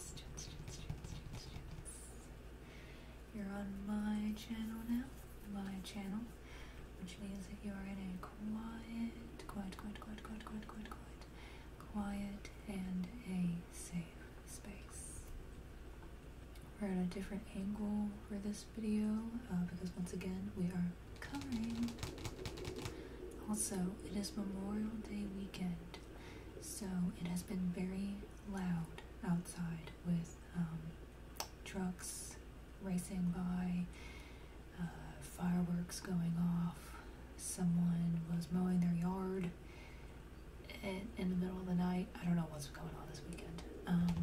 chance, chance, chance, chance, chance, chance. You're on my channel now, my channel, which means that you are in a quiet, quiet, quiet, quiet, quiet, quiet, quiet, quiet, quiet and a safe space. We're at a different angle for this video uh, because once again we are covering. Also, it is Memorial Day weekend. So it has been very loud outside with um, trucks racing by, uh, fireworks going off, someone was mowing their yard in, the middle of the night. I don't know what's going on this weekend. Um,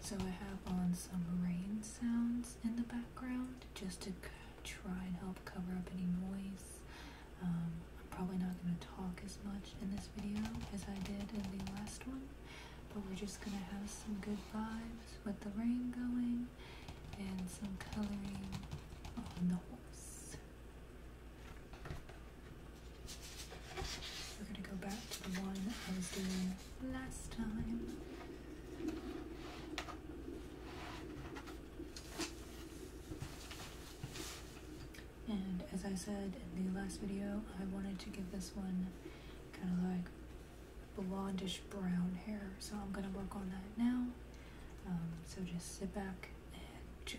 so I have on some rain sounds in the background just to try and help cover up any noise. Um, I'm probably not going to talk as much in this video as I did in the last one, but we're just going to have some good vibes with the rain going and some coloring on the horse. We're going to go back to the one I was doing last time. And as I said in the last video, I wanted to give this one kind of like blondish brown hair. So I'm going to work on that now. Um, so just sit back and chill.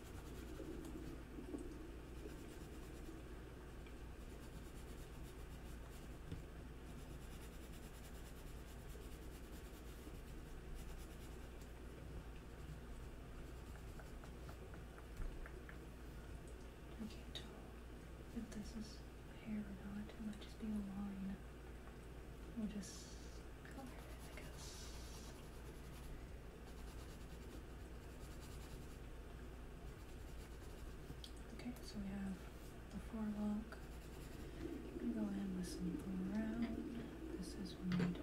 I can't tell if this is hair or not. It might just be a line. We'll just color it, I guess. Okay, so we have the forelock. I'm go in with some brown. This is made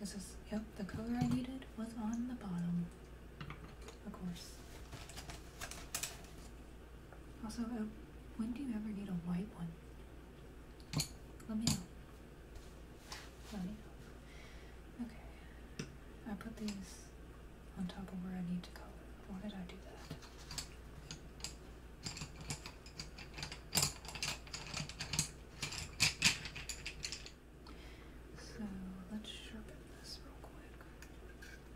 this is, yep, the color I needed was on the bottom, of course. Also, uh, when do you ever need a white one? Let me know. Let me know. Okay. I put these on top of where I need to color. Why did I do that? So let's sharpen this real quick.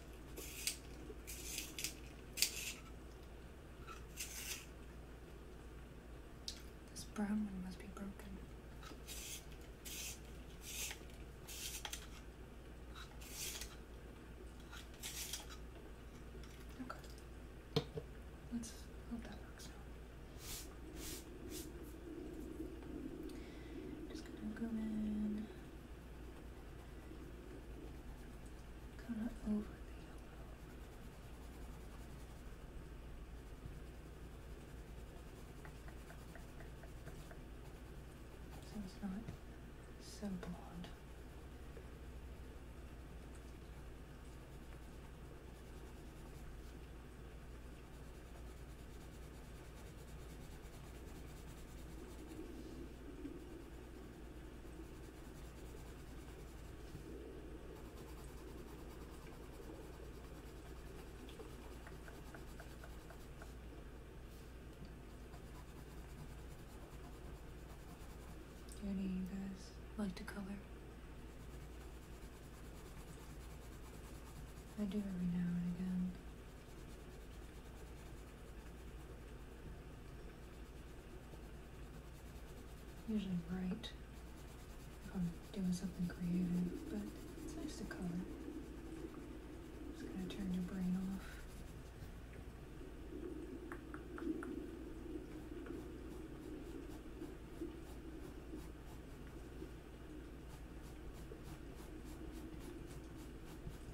This brown one must be broken. Okay. Let's hope that works Just gonna go in Kind of over So it's not so bold any of you guys like to color? I do every now and again. Usually bright if I'm doing something creative, but it's nice to color. It's gonna turn your brain off.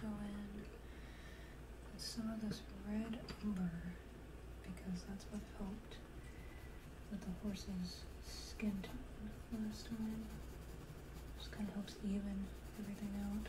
Go in some of this red umber because that's what helped with the horse's skin tone last time. Just kind of helps even everything out.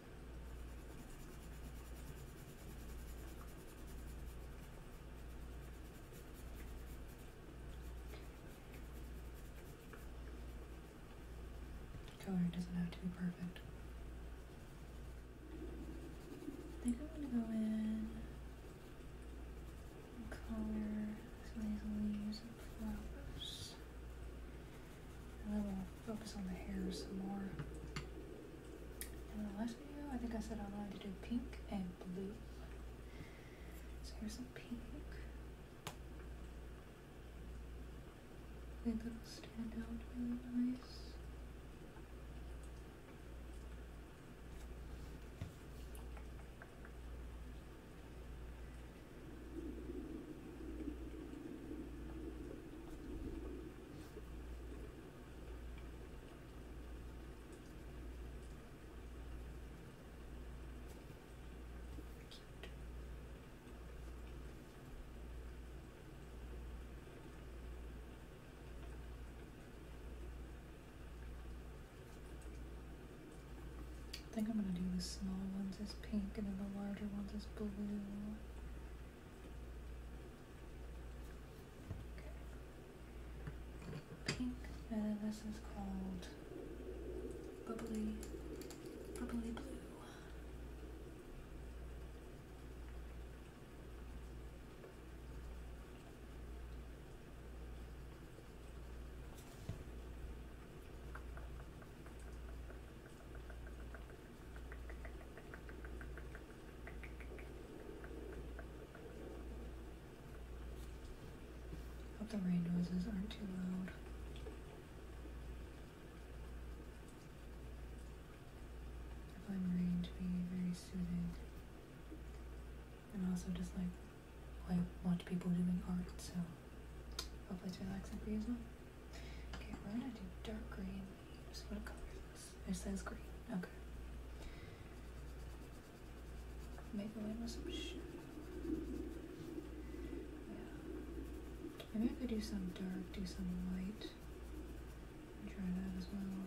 Color doesn't have to be perfect. I think I'm gonna go in color some of these leaves and flowers. And then we'll focus on the hair some more. In the last video, I think I said I wanted to do pink and blue. So here's some pink. I think that'll stand out really nice. I think I'm gonna do the small ones as pink and then the larger ones as blue. Okay. Pink feather, this is called bubbly, bubbly blue. Hope the rain noises aren't too loud. I find rain to be very soothing. And also just like I watch people doing art, so hopefully it's relaxing for you as well. Okay, we're gonna do dark green. So what color is this? It green. Okay. Maybe I could do some dark, do some light. Try that as well.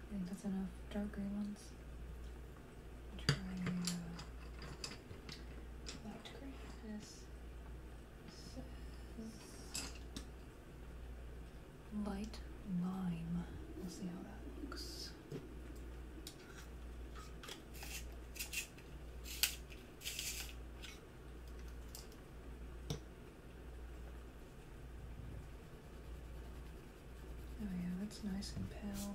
I think that's enough dark gray ones. Try light uh, gray. This light lime. We'll see how that looks. Oh yeah, that's nice and pale.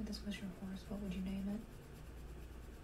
If this was your horse, what would you name it?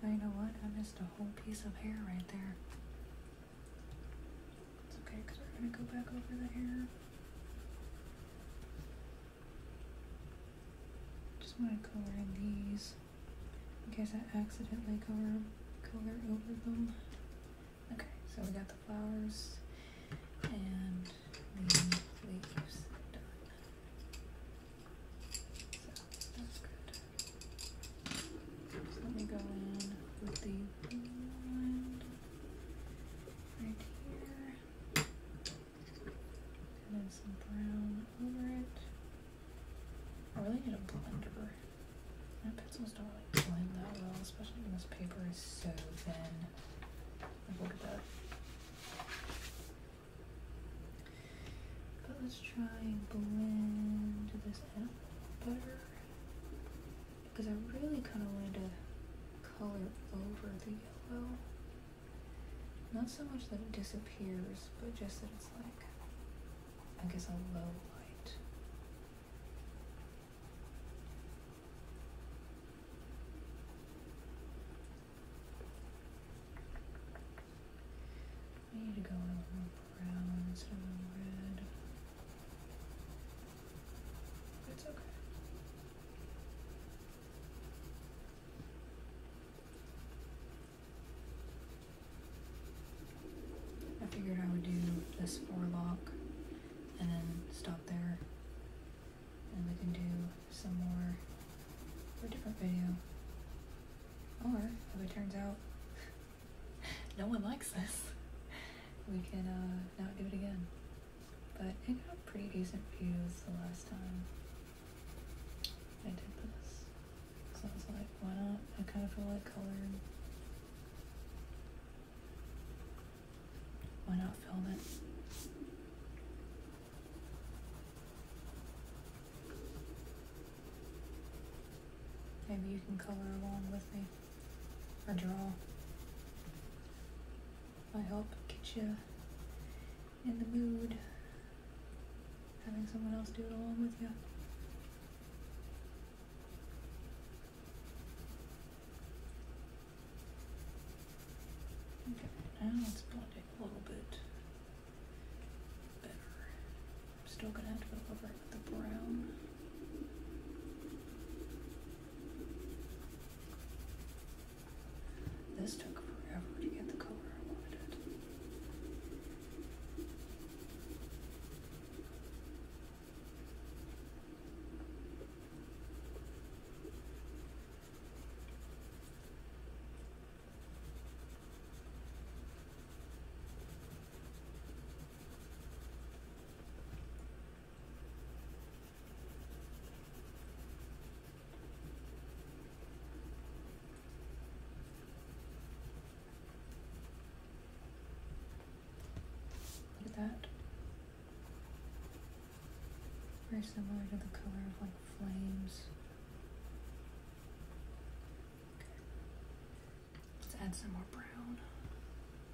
You know what? I missed a whole piece of hair right there. It's okay, because we're going to go back over the hair. Just want to color these in case I accidentally color, color over them. Okay, so we got the flowers and the leaves done. So that's good. So let me go in with the blue right here. And then some brown over it. I really need a blender. My pencils don't really blend that well, especially when this paper is so thin. look at that. But let's try and blend this out butter. Because I really kind of wanted to color over the yellow. Not so much that it disappears, but just that it's like, I guess, a low light. need to go a more brown instead of red. it's okay. I figured I would do this four lock and then stop there and we can do some more for a different video. Or if it turns out no one likes this, we can uh, not do it again. But it got pretty decent views the last time I did this. So I was like, why not? I kind of feel like color. Why not film it? Maybe you can color along with me I draw. I hope gets you in the mood. Having someone else do it along with you. Okay, now let's blend a little bit better. I'm still gonna have to go over it with the brown. This took forever to get the color I wanted. Look at that. Very similar to the color of like flames. Okay. Let's add some more brown.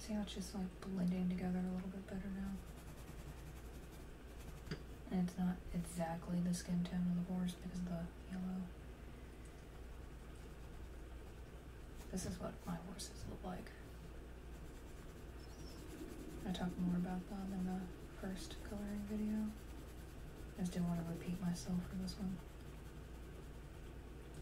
See how it's just like blending together a little bit better now. And it's not exactly the skin tone of the horse because of the yellow. This is what my horses look like. I talked more about that in the first coloring video. I just didn't want to repeat myself for this one.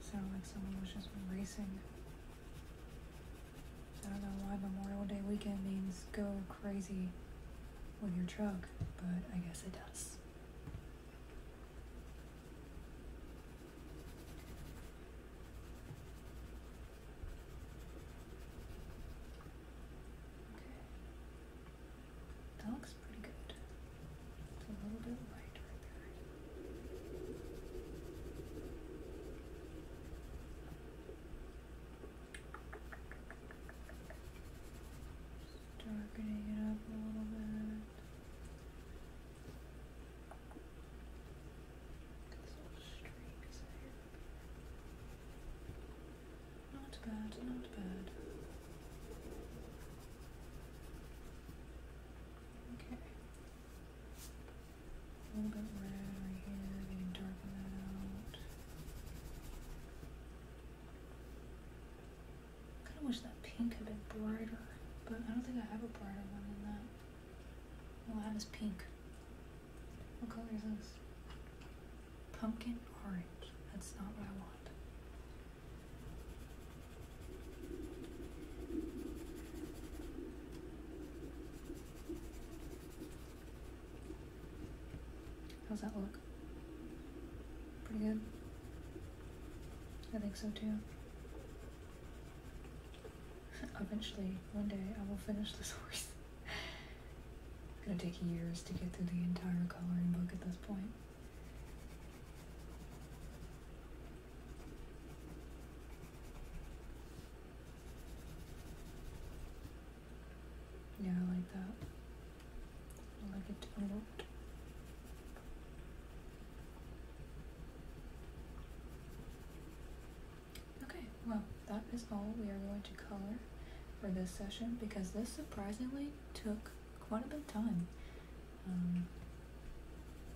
Sounded like someone was just racing. I don't know why Memorial Day weekend means go crazy with your truck, but I guess it does. Okay. That looks pretty good. It's a little bit light right there. darkening it up a little bit. These streaks here. Not bad, not bad. Okay. A little bit red right here, getting darken out. Kind of wish that pink had been brighter, but I don't think I have a brighter one than that. All I is pink. What color is this? Pumpkin orange. That's not what I want. How's that look? Pretty good? I think so too. Eventually, one day, I will finish this horse. Gonna take years to get through the entire coloring book at this point. Yeah, I like that. I like it a lot. Okay, well, that is all we are going to color for this session because this surprisingly took quite a bit of time. Um,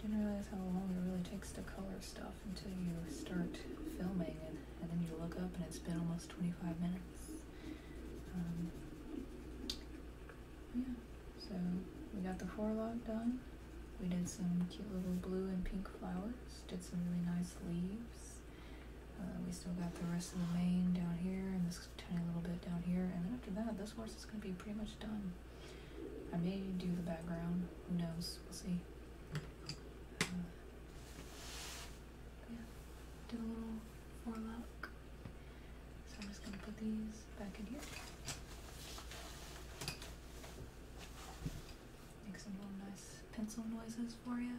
didn't realize how long it really takes to color stuff until you start filming and, then you look up and it's been almost 25 minutes. Um, yeah, so we got the forelock done. We did some cute little blue and pink flowers, did some really nice leaves, uh, we still got the rest of the mane down here and this tiny little bit down here. And then after that, this horse is going to be pretty much done. I may do the background. Who knows? We'll see. Uh, yeah, do a little more forelock. So I'm just going to put these back in here. Make some little nice pencil noises for you.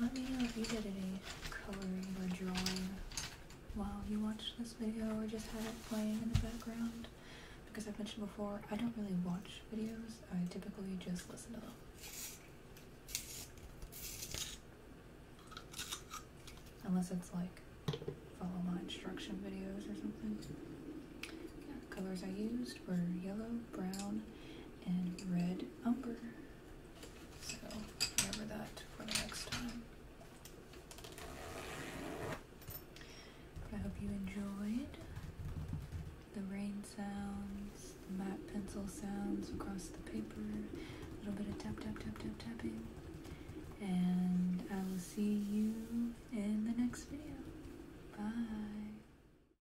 let me know if you did any coloring or drawing while you watched this video or just had it playing in the background. Because I've mentioned before, I don't really watch videos, I typically just listen to them. Unless it's like follow my instruction videos or something. Yeah, colors I used were yellow, brown, and red umber. So remember that for the next time. I hope you enjoyed the rain sounds, the matte pencil sounds across the paper, a little bit of tap tap tap tap tapping, and I will see you in the next video. Bye.